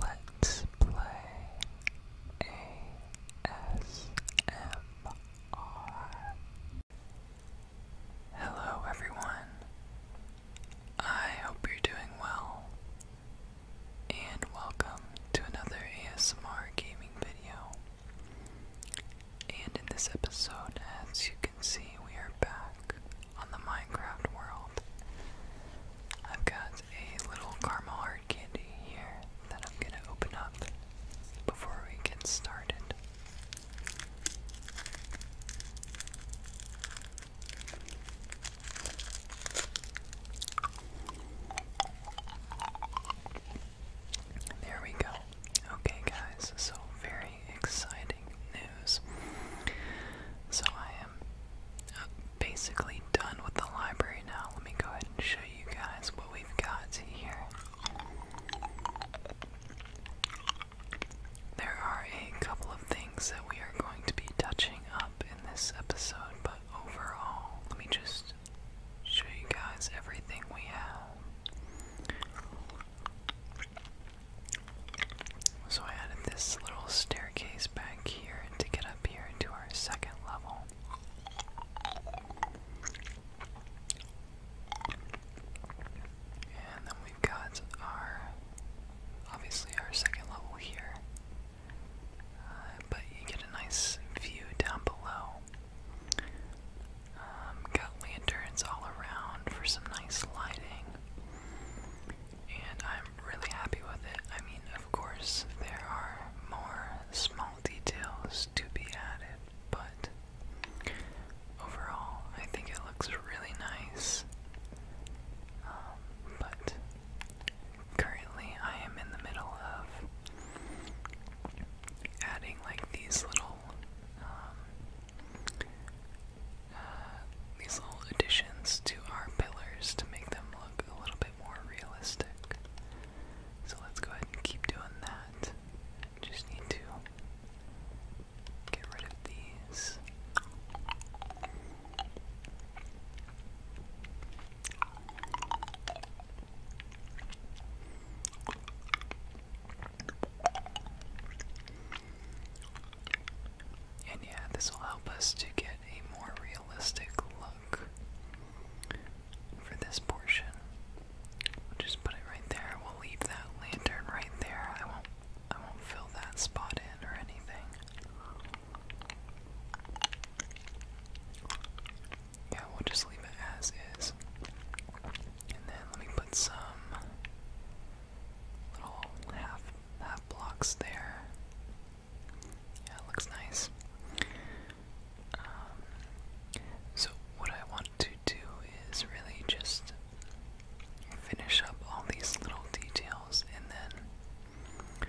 Let's play ASMR. Hello, everyone. I hope you're doing well, and welcome to another ASMR gaming video. And in this episode, as you can see, we are back on the Minecraft world. I've got a little caramel hard candy here that I'm going to open up before we get started. There we go. Okay, guys, so very exciting news. So I am basically done with the library now. Let me go ahead and show you guys what we've got here. There are a couple of things that we are going to be touching up in this episode, but overall, let me just show you guys everything we have. So I added this little staircase back here to get up here to our second level. And then we've got our, obviously our second level here. Uh, but you get a nice view down below. Um, got lanterns all around for some nice lighting and I'm really happy with it. I mean, of course, there are more small details to be added, but overall, I think it looks really nice. Um, but currently, I am in the middle of adding like these little um, these little additions to our pillars to make them look a little bit more realistic. So let's go ahead and keep doing that. Just need to get rid of these. And yeah, this will help us to get a more realistic look for this portion. just put it right there. We'll leave that lantern right there. I won't I won't fill that spot in or anything. Yeah, we'll just leave it as is. And then let me put some Little half half blocks there. Yeah, it looks nice. Um, so what I want to do is really just finish up all these little details and then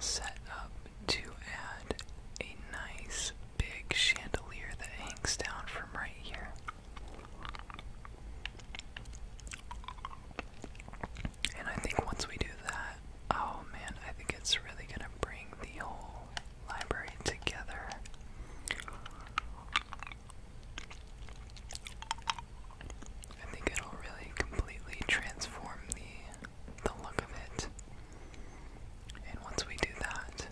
set up to add a nice big chandelier that hangs down from right here. And I think once we do that, oh man, I think it's really gonna bring the whole library together. I think it'll really completely transform the the look of it. And once we do that,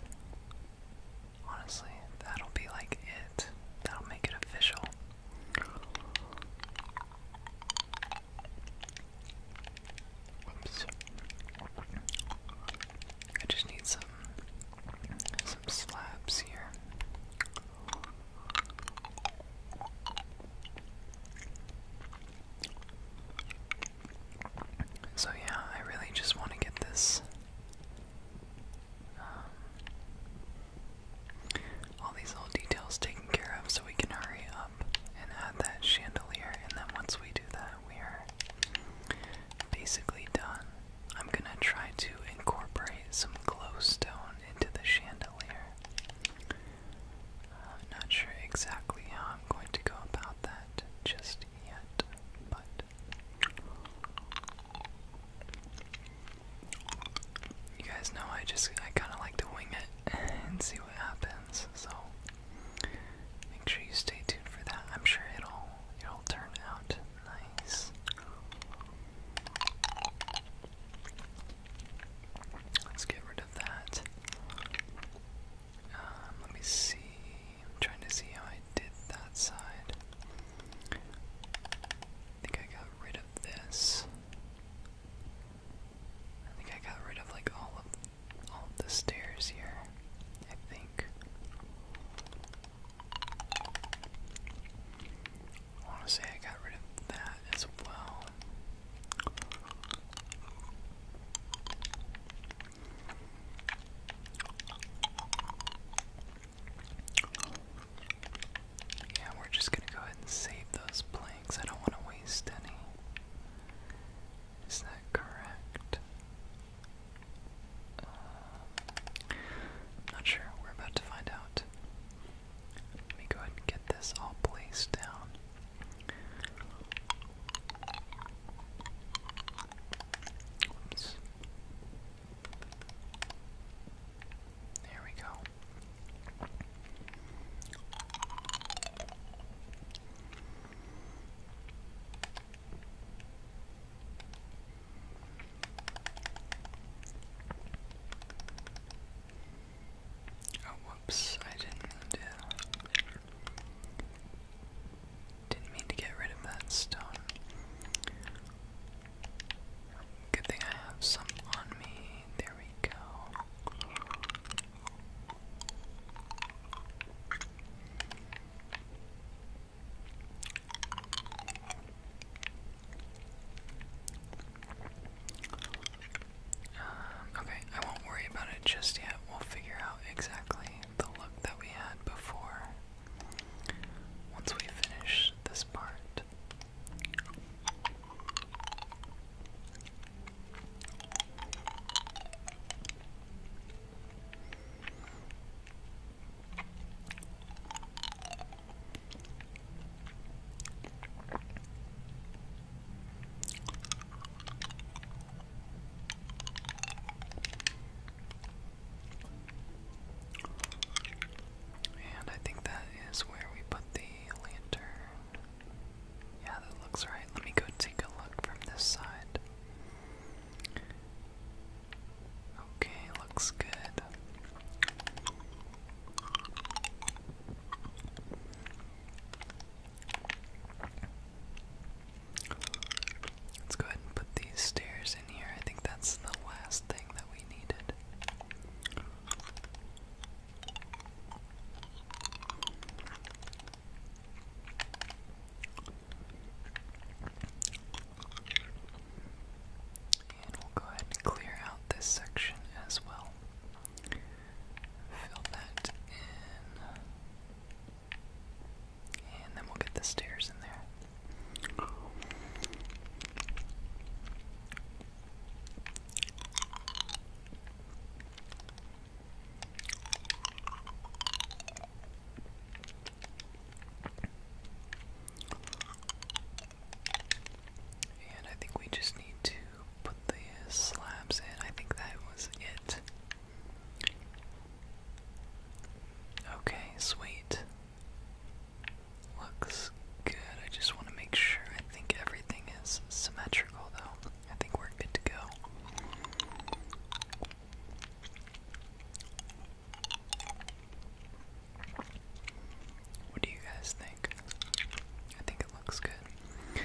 honestly, that'll be like it. That'll make it official. Oops. I just need some some slabs here. So yeah, I really just want to get this um, all these little details taken care of so we can hurry up and add that chandelier and then once we do that we are basically done. I'm gonna try to incorporate some glowstone into the chandelier. I'm uh, not sure exactly how I'm going to go about that just yet, but you guys know I just I kind of like to wing it and see what happens. So make sure you stay tuned for that. I'm sure it'll it'll turn out nice. Let's get rid of that. Um, let me see. I'm trying to see how I did that side. I think I got rid this. I think I got rid of like all of all the stairs here. I think. I want to say I got rid of that as well. Yeah, we're just gonna go ahead and save those planks. I don't want to waste any. Is that correct? Um, not sure. We're about to find out. Let me go ahead and get this all placed down. Oops. There we go. Oh, whoops, I didn't mean Didn't mean to get rid of that stone. Good thing I have some on me. There we go. Um, okay, I won't worry about it just yet. We'll figure out exactly the look that we had before once we finish this part. And I think that is where we put the lantern. Yeah, that looks right. Let me go take a look from this side. Okay, looks good. Let's go ahead and put these stairs here. I think that's the last thing that we needed. And we'll go ahead and clear out this section as well. Fill that in. And then we'll get the stairs in there. And I think we just need to put the slabs in. I think that was it. Okay, sweet. Looks good. I just want to make sure. I think everything is symmetrical, though. I think we're good to go. What do you guys think? I think it looks good.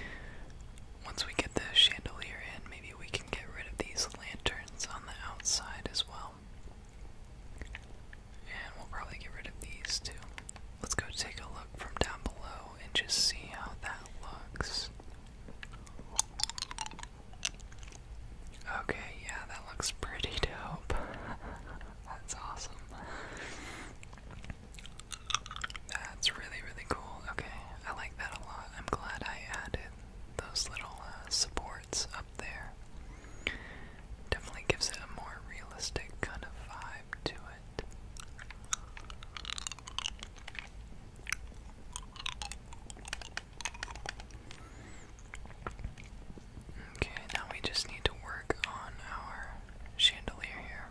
Once we get the chandelier in, maybe we can get rid of these lanterns on the outside as well. And we'll probably get rid of these two. Let's go take a look from down below and just see how that looks. Okay, yeah, that looks pretty dope. That's awesome. That's really, really cool. Okay, I like that a lot. I'm glad I added those little uh, support it's up there. Definitely gives it a more realistic kind of vibe to it. Okay, now we just need to work on our chandelier here.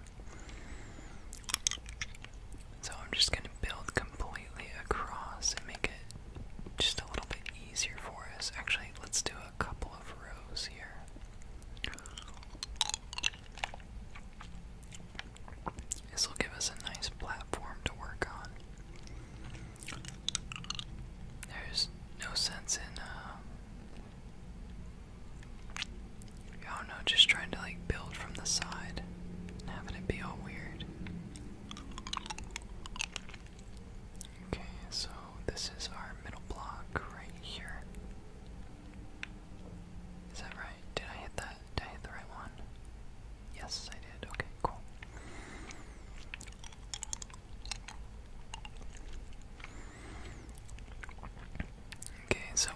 So I'm just going to build completely across and make it just a little bit easier for us. Actually, let's do a couple of rows here. This will give us a nice platform to work on. There's no sense in, uh, I don't know, just trying to like build from the side having it be all weird. Okay, so this is our middle block right here. Is that right? Did I hit that? Did I hit the right one? Yes, I did. Okay, cool. Okay, so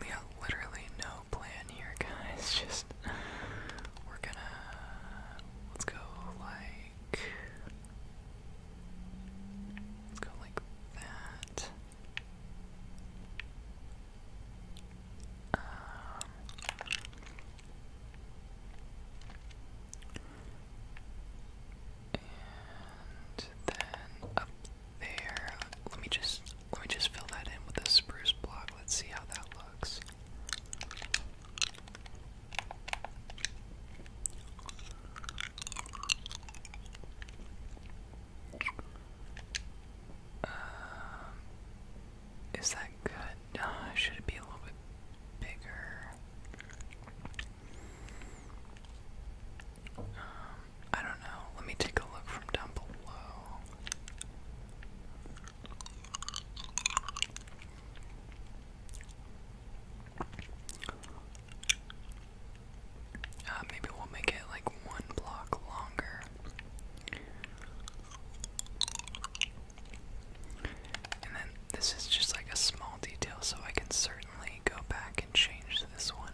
we got literally no plan here, guys. Just we're gonna let's go like go like that. Um, and then up there, let me just let me just fill that in with a spruce block. Let's see how that looks. Um, is that good? Uh, should it be a little bit bigger? Um, I don't know. Let me take a look from down below. Uh, maybe we'll make it like one block longer. And then this is just like a small detail, so I can certainly go back and change this one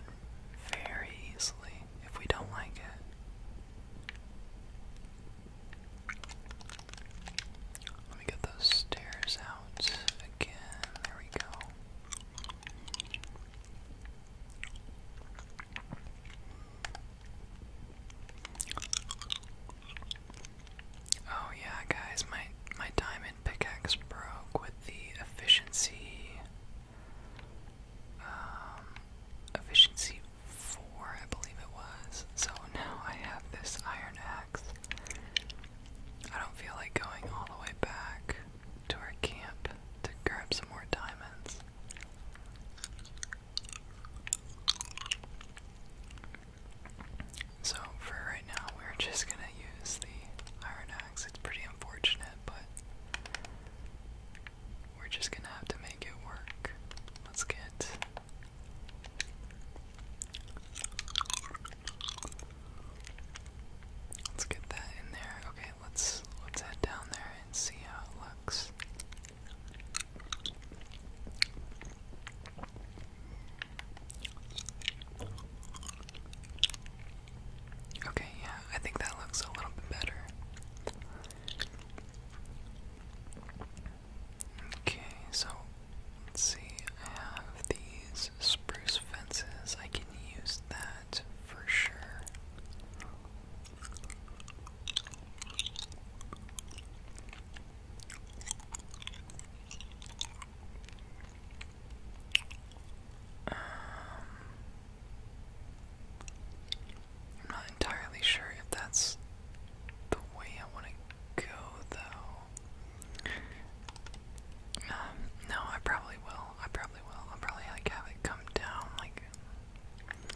very easily if we don't like it. Let me get those stairs out again. There we go. Oh yeah, guys, my my diamond pickaxe broke with the efficiency um, efficiency 4, I believe it was. So now I have this iron axe I don't feel like going all the way back to our camp to grab some more diamonds. So, for right now, we're just gonna use the iron axe. It's pretty unfortunate, but we're just gonna have to make it work. Let's get Let's get that in there. Okay, let's let's head down there and see how it looks. Okay, yeah, I think that looks a little bit better. Okay, so see. I have these spruce fences. I can use that for sure. Um, I'm not entirely sure if that's the way I want to go, though. Um, no, I probably will. I probably will. i probably like have it come down, like.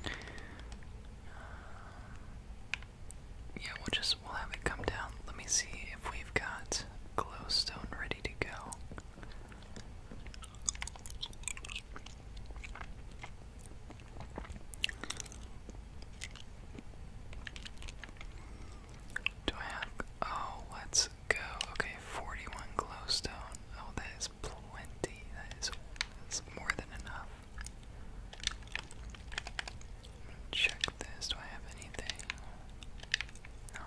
Um, yeah, we'll just we'll have it come down. Let me see if we've got glowstone ready to go. Do I have. Oh, let's go. Okay, 41 glowstone. Oh, that is plenty. That is that's more than enough. Check this. Do I have anything? No.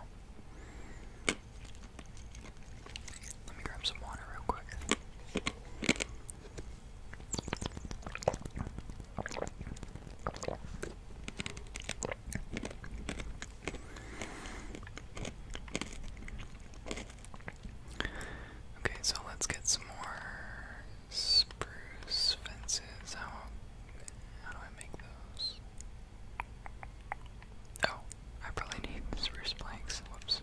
Let me grab some water real quick. Okay, so let's get some more spruce fences. How how do I make those? Oh, I probably need spruce planks. Whoops.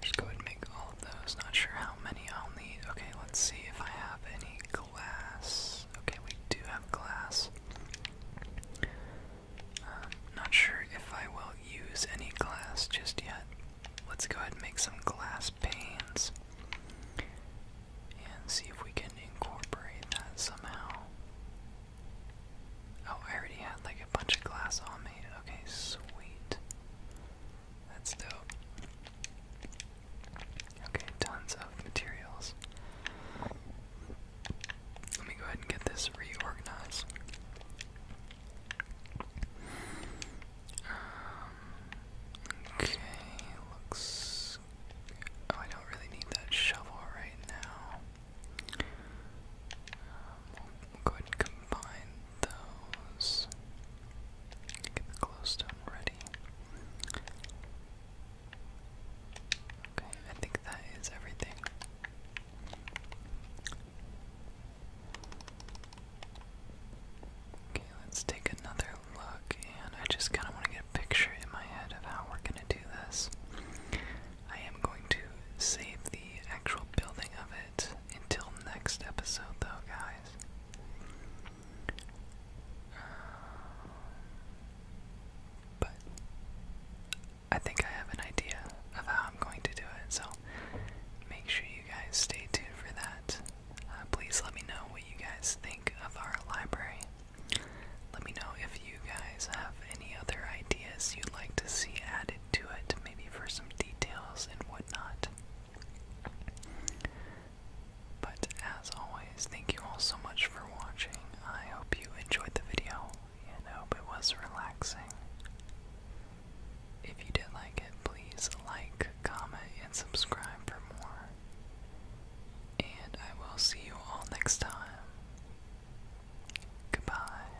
Let's go ahead and make all of those. Not sure how many I'll need. Okay, let's see if I have any glass. Okay, we do have glass. Um, not sure if I will use any glass just yet. Let's go ahead and make some glass panes and see if we can incorporate that somehow. Oh, I already had like a bunch of glass on me. Okay, sweet. That's dope. Okay, tons of materials. Let me go ahead and get this reorganized. Um, okay, looks. Oh, I don't really need that shovel right now. Um, go ahead and combine those. Get the glowstone ready. Okay, I think that is everything. Okay, let's take another look, and I just kind of want to get a picture in my head of how we're going to do this. I am going to save the actual building of it. Until next episode, though, guys. Uh, but I think I have an idea of how I'm going to do it, so make sure you guys stay tuned for that. Uh, please let me know what you guys think of our library. Let me know if you guys have any other ideas you'd like to see added to it, maybe for some details and whatnot. But as always, thank you all so much for watching. I hope you enjoyed the video and hope it was relaxing. If you did like it, please like, comment, and subscribe for more. And I will see you all next time. Goodbye.